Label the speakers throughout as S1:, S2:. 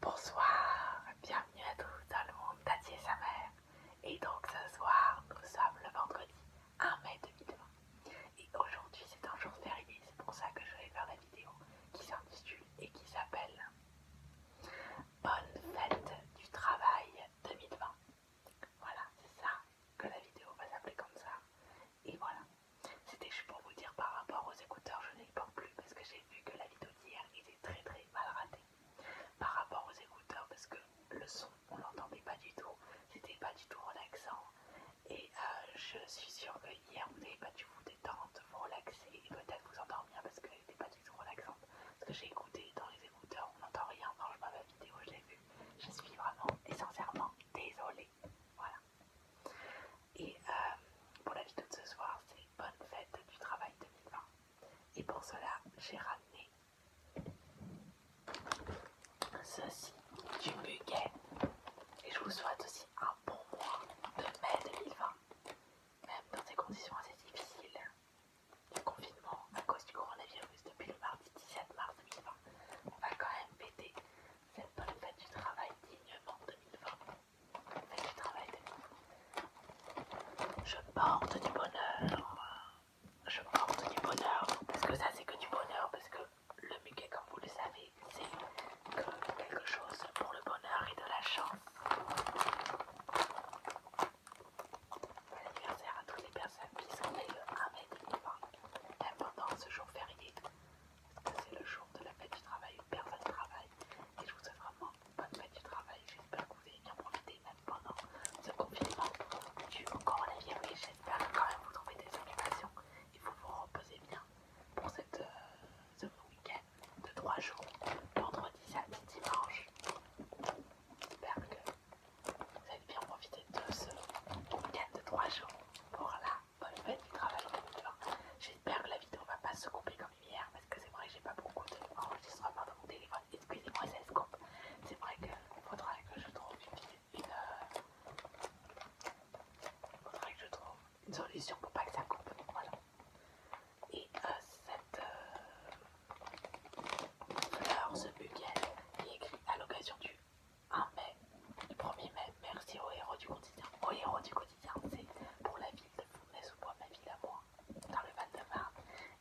S1: Bonsoir, bienvenue à tous dans le monde et sa mère. Et donc ce soir, nous sommes le vendredi 1 mai 2020. Et aujourd'hui, c'est un jour férié, c'est pour ça que je vais faire la vidéo qui s'intitule et qui s'appelle Bonne fête du travail 2020. Voilà, c'est ça que la vidéo va s'appeler comme ça. Et voilà, c'était juste pour vous dire par rapport aux écouteurs, je n'y pas plus parce que j'ai vu que la vidéo d'hier était très très mal ratée. Par rapport aux écouteurs, parce que le son, on l'entendait pas du tout, c'était pas du tout relaxant. Et euh, je suis sûre que hier vous n'avez pas dû vous détendre, vous relaxer et peut-être vous endormir parce qu'elle n'était pas du tout relaxante. Parce que j'ai écouté dans les écouteurs, on n'entend rien. Franchement, la vidéo, je l'ai vue. Je suis vraiment et sincèrement désolée. Voilà. Et euh, pour la vidéo de ce soir, c'est Bonne fête du travail 2020. Et pour cela, j'ai ramené ceci du Muguet. Et je vous souhaite aussi un bon mois de mai 2020, même dans ces conditions assez difficiles. du confinement à cause du coronavirus depuis le mardi 17 mars 2020. On va quand même péter c'est pas le fait du travail dignement 2020. Faites du travail dignement. Je porte du bonheur. Je porte du bonheur. Parce que ça, c'est que du bonheur. Parce que le muquet, comme vous le savez, c'est que quelque chose pour le bonheur et de la chance. Bon anniversaire à toutes les personnes qui sont nées le mai 2020. Pendant ce jour férié c'est le jour de la fête du travail où personne travaille. Et je vous souhaite vraiment une bonne fête du travail. J'espère que vous allez bien profiter même pendant ce confinement dû au coronavirus. J'espère que quand même vous trouvez des animations et faut vous reposer bien pour euh, ce week-end de 3 jours, vendredi, samedi, dimanche. J'espère que vous allez bien profiter de ce week-end de 3 jours pour la bonne fête du travail J'espère que la vidéo va pas se couper comme hier parce que c'est vrai que j'ai pas beaucoup enregistrement de dans mon téléphone. Excusez-moi, ça se coupe. C'est vrai qu'il faudra que je trouve une, euh, faudrait que je trouve une solution pour pas que ça coupe. Voilà. Et euh, cette euh, fleur, ce buquet qui est écrit à l'occasion du 1 mai, le 1er mai, merci aux héros du quotidien. Aux héros du quotidien, c'est pour la ville de fontenay ou bois ma ville à moi, dans le Val-de-Marne.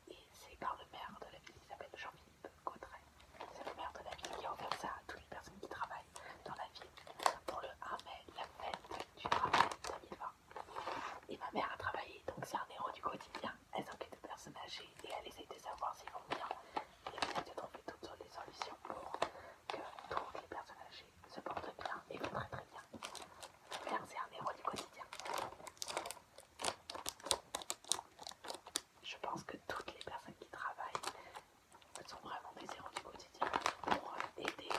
S1: Et c'est par le maire de la ville qui s'appelle Jean-Philippe Cotteret, C'est le maire de la ville qui a ça à toutes les personnes qui travaillent dans la ville. Pour le 1 mai, la fête du travail 2020. Et ma mère a travaillé, donc c'est un héros du quotidien. Elle enquête de personnes âgées et elle essaye de savoir s'ils vont bien. Et elle essaye de trouver toutes les solutions pour que toutes les personnes âgées se portent bien et vont très très bien. c'est un héros du quotidien. Je pense que toutes les personnes qui travaillent sont vraiment des héros du quotidien pour euh, aider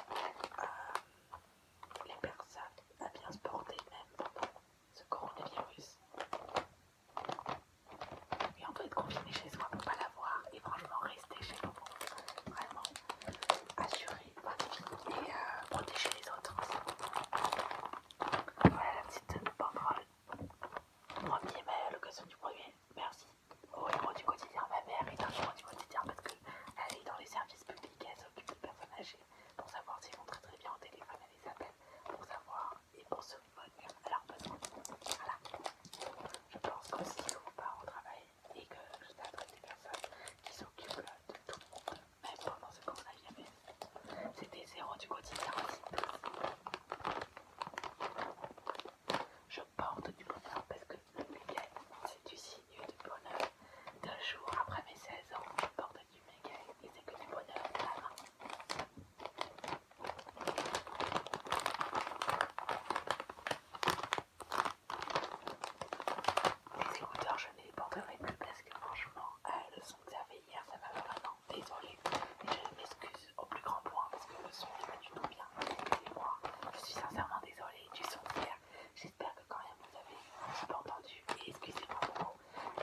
S1: euh, les personnes à bien se porter même pendant ce coronavirus. Et on peut être confiné chez soi pour pas l'avoir. Et franchement, rester chez nous pour vraiment assurer et euh, protéger les autres. Voilà la petite banderole. Premier mail, mai, l'occasion du premier, Merci au héros du quotidien. Ma mère est un héros du quotidien parce qu'elle est dans les services publics, elle s'occupe de personnes âgées pour savoir s'ils vont très très bien au téléphone, elle les appelle pour savoir et pour se alors Voilà. Je pense si que part au travail et que je t'adresse des personnes qui s'occupent de tout le monde, même pendant ce y avait c'était zéro du quotidien aussi. Je porte du bonheur parce que le Miguel, c'est du signe du bonheur. Deux jour après mes 16 ans, je porte du Miguel et c'est que du bonheur de la je n'ai pas plus franchement, euh, le son que hier, ça m'a vraiment désolé. je m'excuse au plus grand point parce que le son n'est pas du tout bien. moi, je suis sincèrement désolée du son hier. J'espère que quand même vous avez un entendu et excusez-moi beaucoup.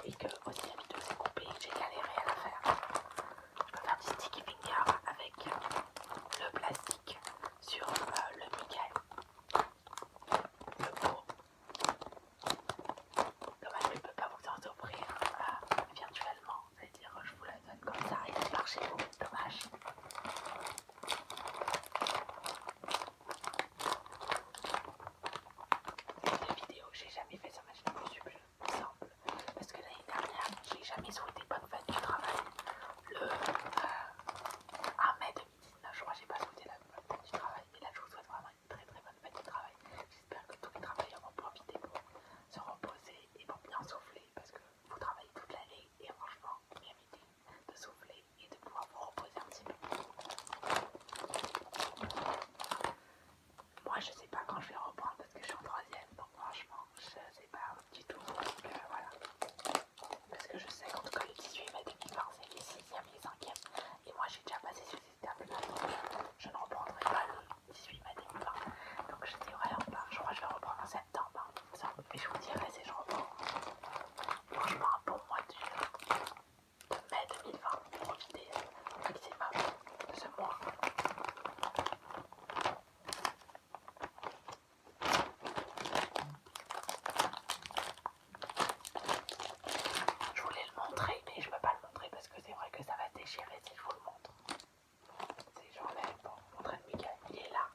S1: Et que aussi la vidéo s'est coupée, j'ai galéré à la faire je peux faire petit sticky finger avec euh, le plastique sur euh, le nickel, le pot. Dommage, je ne peux pas vous en offrir euh, virtuellement, c'est-à-dire je vous la donne comme ça, il marche et vous, dommage. Des vidéos que j'ai jamais fait sur ma chaîne YouTube, parce que l'année dernière, j'ai jamais souhaité bonne fête du travail. Le 1 euh, mai 2019, je crois que j'ai pas souhaité la bonne fête du travail. Mais là, je vous souhaite vraiment une très très bonne fête du travail. J'espère que tous les travailleurs vont profiter pour se reposer et pour bien souffler. Parce que vous travaillez toute l'année et franchement, est méritez de souffler et de pouvoir vous reposer un petit peu. Moi je sais pas quand je vais reprendre parce que je suis en troisième, donc franchement je sais pas du tout. Euh, voilà. Parce que je sais qu'en tout cas les 18 mai 2020 c'est les 6e, les 5 ème Et moi j'ai déjà passé sur ces termes, là, je ne reprendrai pas le 18 mai 2020. Donc je sais vraiment pas, je crois que je vais reprendre en septembre. Hein. mais je vous dirai si je reprends. Franchement pour moi mois mai 2020 pour profiter maximum de ce mois. Je voulais le montrer, mais je peux pas le montrer parce que c'est vrai que ça va déchirer si je vous le montre. C'est j'enlève bon, pour train de Miguel, il est là,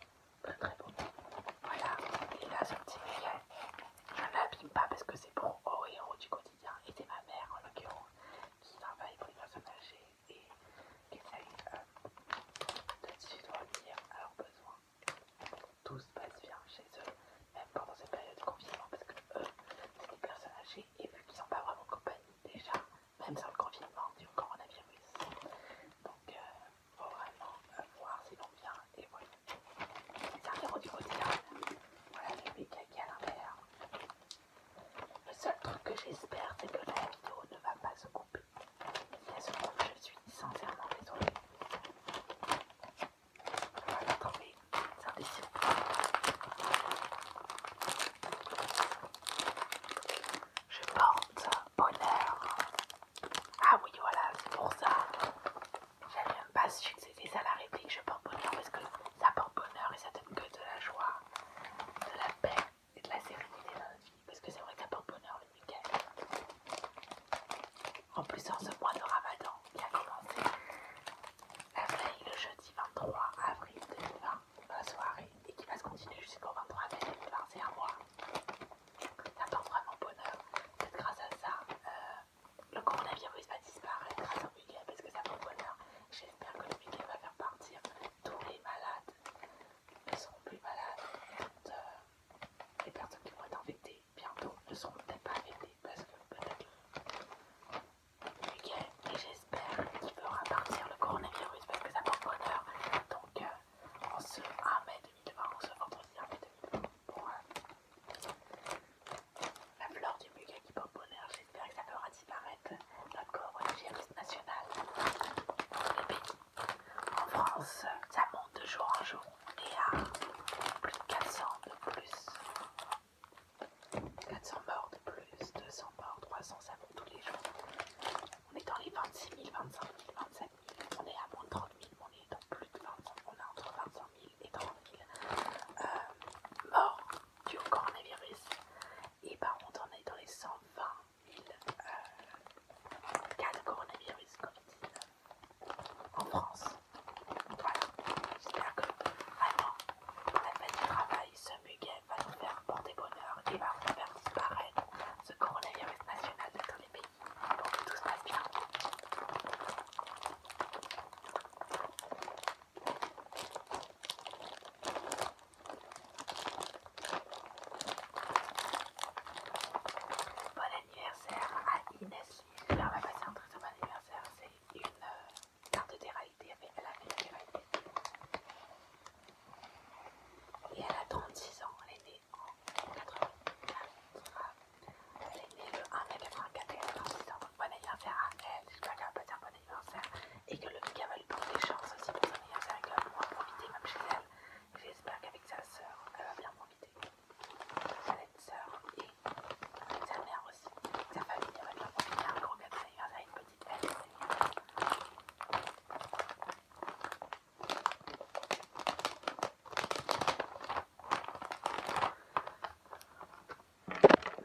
S1: très très beau. Voilà, il est là ce petit je ne l'abîme pas parce que c'est pour héros du quotidien et c'est ma mère en l'occurrence qui travaille pour les personnes âgées et qui essaye euh, de s'y à leurs besoins. Tout se passe bien chez eux, même pendant cette période de confinement parce que eux, c'est des personnes âgées et vu qu'ils n'ont pas vraiment de compagnie déjà, même sans le confinement du coronavirus. Donc, il euh, faut vraiment euh, voir si vont bien et les arriéraux du modèle. Voilà le méga qui est à l'intérieur. Le seul truc que j'espère, c'est que la vidéo ne va pas se couper. Si à se coupe, je suis sincèrement désolée. Voilà, attendez, ça décide. Je porte bonheur. Ah oui, voilà, c'est pour ça. J'avais même pas su que c'était ça la réplique, je porte bonheur parce que ça porte bonheur et ça donne que de la joie, de la paix et de la sérénité dans la vie. Parce que c'est vrai que ça porte bonheur le week En plus, en ce mois de ramadan qui a commencé la veille, le jeudi 23 avril 2020, la soirée, et qui va se continuer jusqu'au 23 avril, 2020, c'est un mois. Ça porte vraiment bonheur. peut grâce à ça, euh, le coronavirus va disparaître grâce week Miguel parce que ça prend bonheur. J'espère que le week-end va faire partir tous les malades. Ne seront plus malades. les personnes qui vont être infectées bientôt ne seront peut-être pas infectées parce que peut-être le week-end. Et j'espère qu'il fera partir le coronavirus parce que ça prend bonheur. Donc, en euh, on se 1 mai 2020, on se vendredi 1 mai 2020 la fleur du muguet qui j'espère que ça fera disparaître notre corps virus national. en France, ça monte de jour en jour. On est à plus de 400 de plus. 400 morts de plus, 200 morts, 300, ça monte tous les jours. On est dans les 26 000, 25 000, 27 000. On est à moins de 30 000, on est dans plus de 20 000. On est entre 25 000 et 30 000 morts du coronavirus. Et par contre, on est dans les 120 000 euh, cas de coronavirus Covid-19 en France. Voilà, j'espère que vraiment la famille du travail, ce muguet va nous faire porter bonheur et va nous faire disparaître ce coronavirus national de pays pour que tout se passe bien. Bon anniversaire à Inès Alors, on va passer un très bon anniversaire, c'est une euh, carte de réalité, elle a fait une réalité. Et elle a 36 ans, elle en 84. Elle est née le 1 mai 84 et elle a ans. Bon anniversaire à elle, j'espère qu'elle va passer un bon anniversaire et que le mec va lui porter des chances aussi pour son anniversaire et qu'elle va bien profiter même chez elle. J'espère qu'avec sa soeur, elle va bien m'inviter. Sa soeur et avec sa mère aussi. Sa famille, elle va bien profiter. Un gros cadeau d'anniversaire, une petite aile.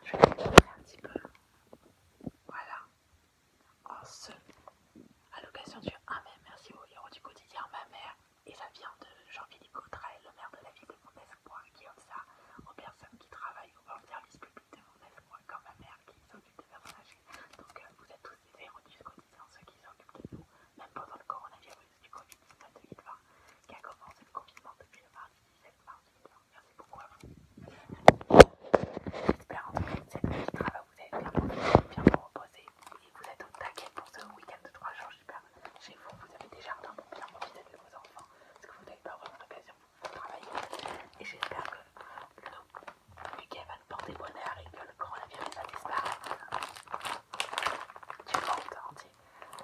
S1: Je vais un petit peu. Voilà. En ce, à l'occasion du 1 ah, mai, merci au héros du quotidien, ma mère. Et ça vient de Jean-Philippe Cotray, le maire de la ville de Montespoir, qui offre ça aux personnes qui travaillent au service public de Montespoir, comme ma mère qui s'occupe des personnes Donc euh, vous êtes tous des héros du quotidien sont ceux qui s'occupent de nous, même pendant le coronavirus du Covid-19 2020, qui a commencé le confinement depuis le mardi 17 mars 2020. Merci beaucoup à vous. J'espère en tout cas que cette petite travail vous aide bien bien vous reposer et vous êtes au taquet pour ce week-end de 3 jours. J'espère chez vous, vous avez des jardins pour bien profiter de vos enfants parce que vous n'avez pas vraiment l'occasion de travailler. Et j'espère que le week-end va nous porter bonheur et que le coronavirus va disparaître du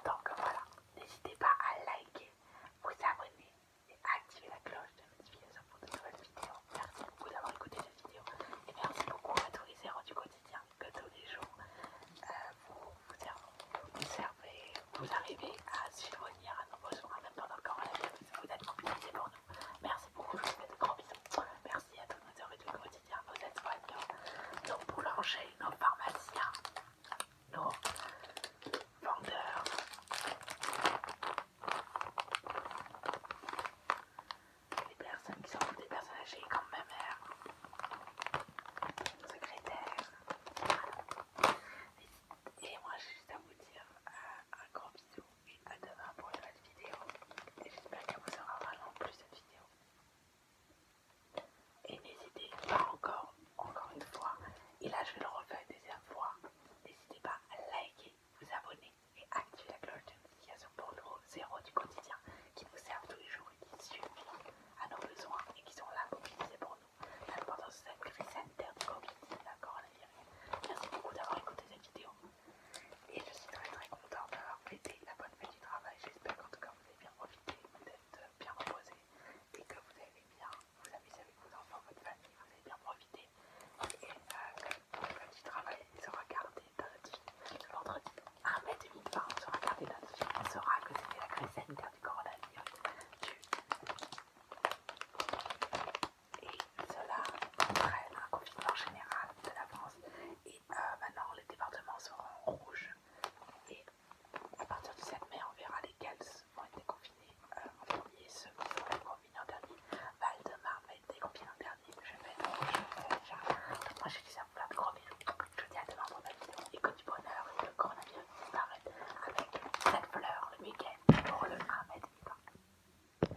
S1: Donc voilà, n'hésitez pas à liker, vous abonner et activer la cloche de notification pour de nouvelles vidéos. Merci beaucoup d'avoir écouté cette vidéo et merci beaucoup à tous les héros du quotidien que tous les jours euh, vous, servez, vous arrivez à subvenir à nos besoins même pendant le coronavirus. Vous êtes mobilisés pour nous. Merci merci à tous nos services du quotidien, nos aides nos boulangers, nos pharmaciens, nos vendeurs. Les personnes qui sont des personnes âgées comme ma mère, mon secrétaire. Et moi j'ai juste à vous dire euh, un grand bisou et à demain pour une nouvelle vidéo et j'espère que vous aurez vraiment plus cette vidéo. Et n'hésitez pas encore, encore une fois, et là je vais le refaire une deuxième fois, n'hésitez pas à liker, vous abonner et activer la cloche de notification pour nos zéros du quotidien qui nous servent tous les jours et qui suivent à nos besoins et qui sont là pour utiliser pour nous. Là, pendant cette crise interne du Covid, d'accord, Merci beaucoup d'avoir écouté cette vidéo. Et je suis très très content d'avoir fêté la bonne fête du travail. J'espère qu'en tout cas vous avez bien profité, vous êtes euh, bien reposé et que vous avez bien vous amusé avec vos enfants, votre famille, vous avez bien profité. Et que euh, la bonne fête du travail sera gardée lundi, le vendredi 1 mai 2020, on sera gardé lundi. On saura que c'était la crise sanitaire du coronavirus et cela entraîne un confinement général de la France et euh, maintenant les départements seront rouges et à partir du 7 mai on verra lesquels ont été confinés euh, en premier, ceux qui ont été confinés en dernier. Val-de-Marne va être en dernier, je vais être rouge déjà. moi je vous dis à plein de je dis à demain pour ma vidéo et que du bonheur le coronavirus disparaît avec cette fleur le week-end pour le 1 mètre.